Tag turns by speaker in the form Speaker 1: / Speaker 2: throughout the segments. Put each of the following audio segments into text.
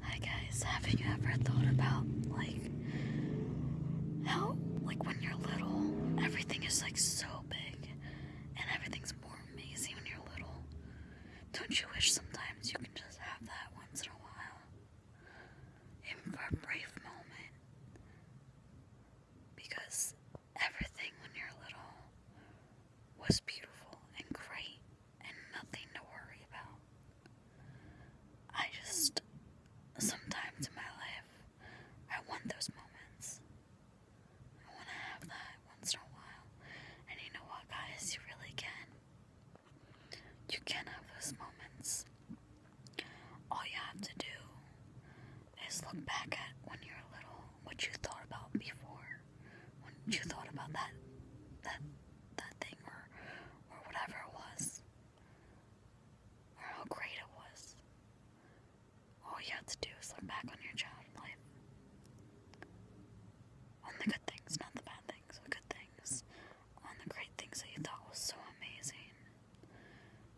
Speaker 1: Hi guys, have you ever thought about like how like when you're little everything is like so big and everything's more amazing when you're little? Don't you wish sometimes you can just have that once in a while? Even for a brief moment. Because everything when you're little was beautiful and great and nothing to worry about. I just, sometimes in my life, I want those moments. I want to have that once in a while. And you know what, guys? You really can. You can have those moments. All you have to do is look back at when you were little, what you thought about before, when you thought about that that that thing or or whatever it was or how great it was. All you have to do is look back on your child life. On the good things, not the bad things, the good things. On the great things that you thought was so amazing.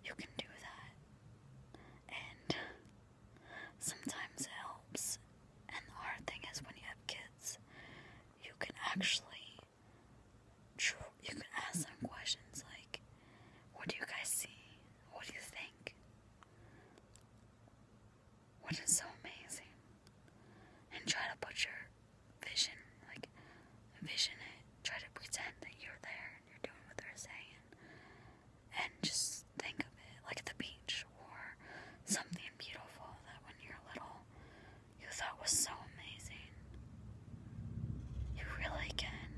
Speaker 1: You can do that. And Sometimes it helps. And the hard thing is when you have kids, you can actually you can ask them questions like, "What do you guys see? What do you think?" What is so amazing? And try to put your vision, like, vision it. Try to pretend that you're there you're doing what they're saying, and just think of it like the beach or something beautiful that when you're little you thought was so amazing. You really can.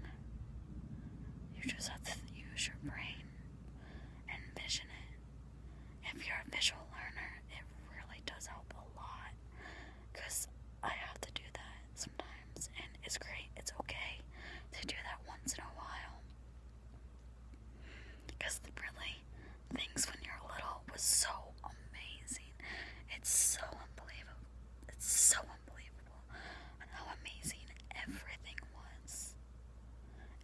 Speaker 1: You just have to use your brain and vision it. If you're a visual learner, it really does help a lot because I have to do that sometimes, and it's great, it's okay to do that once in a while. Because really, things when you're little was so amazing. It's so unbelievable. It's so unbelievable how amazing everything was.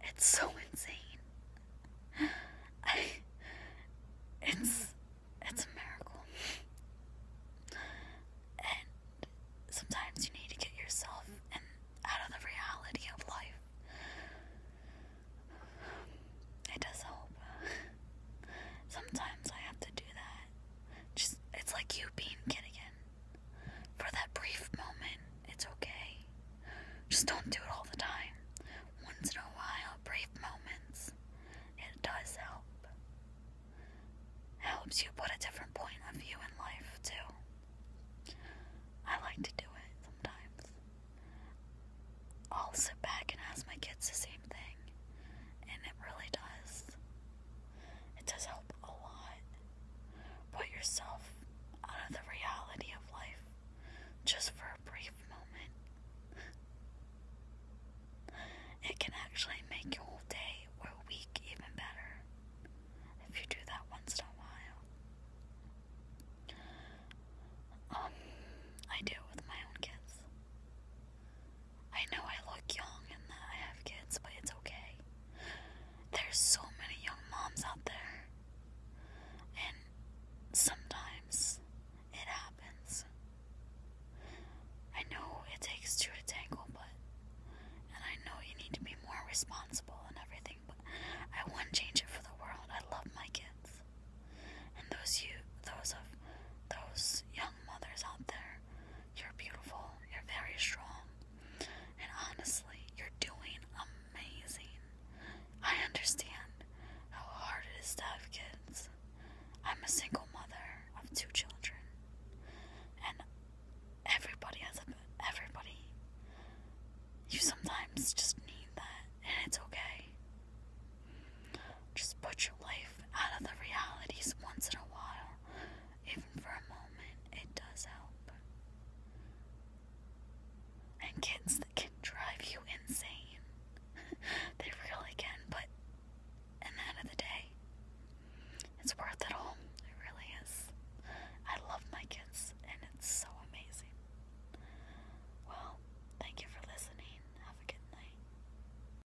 Speaker 1: It's so insane. it's it's a miracle. and sometimes you need to get yourself and out of the reality of life. It does help. Sometimes I have to do that. Just it's like you being kid again. For that brief moment, it's okay. Just don't do it all the time. Once in a while, brief moments. It does help. Helps you put a different point of view in life, too. I like to do it sometimes. I'll sit back and ask my kids the same thing, and it really does. It does help a lot. Put yourself out of the reality of life just for a brief moment. It can actually make your whole day or week even better if you do that once in a while. Um, I do it with my own kids. I know I look young and that I have kids, but it's okay. There's so many young moms out there, and sometimes it happens. I know it takes two to tango, but and I know you need to be more responsible and everything, but I wouldn't change it for the world. I love my kids, and those you, those of those young mothers out there, you're beautiful. You're very strong. And honestly, you're doing amazing. I understand how hard it is to have kids. I'm a single mother of two children. And everybody has a everybody. You sometimes just need that, and it's okay. Just put your life out of the realities once in a while for a moment, it does help. And kids that can drive you insane, they really can, but in the end of the day, it's worth it all. It really is. I love my kids, and it's so amazing. Well, thank you for listening. Have a good night.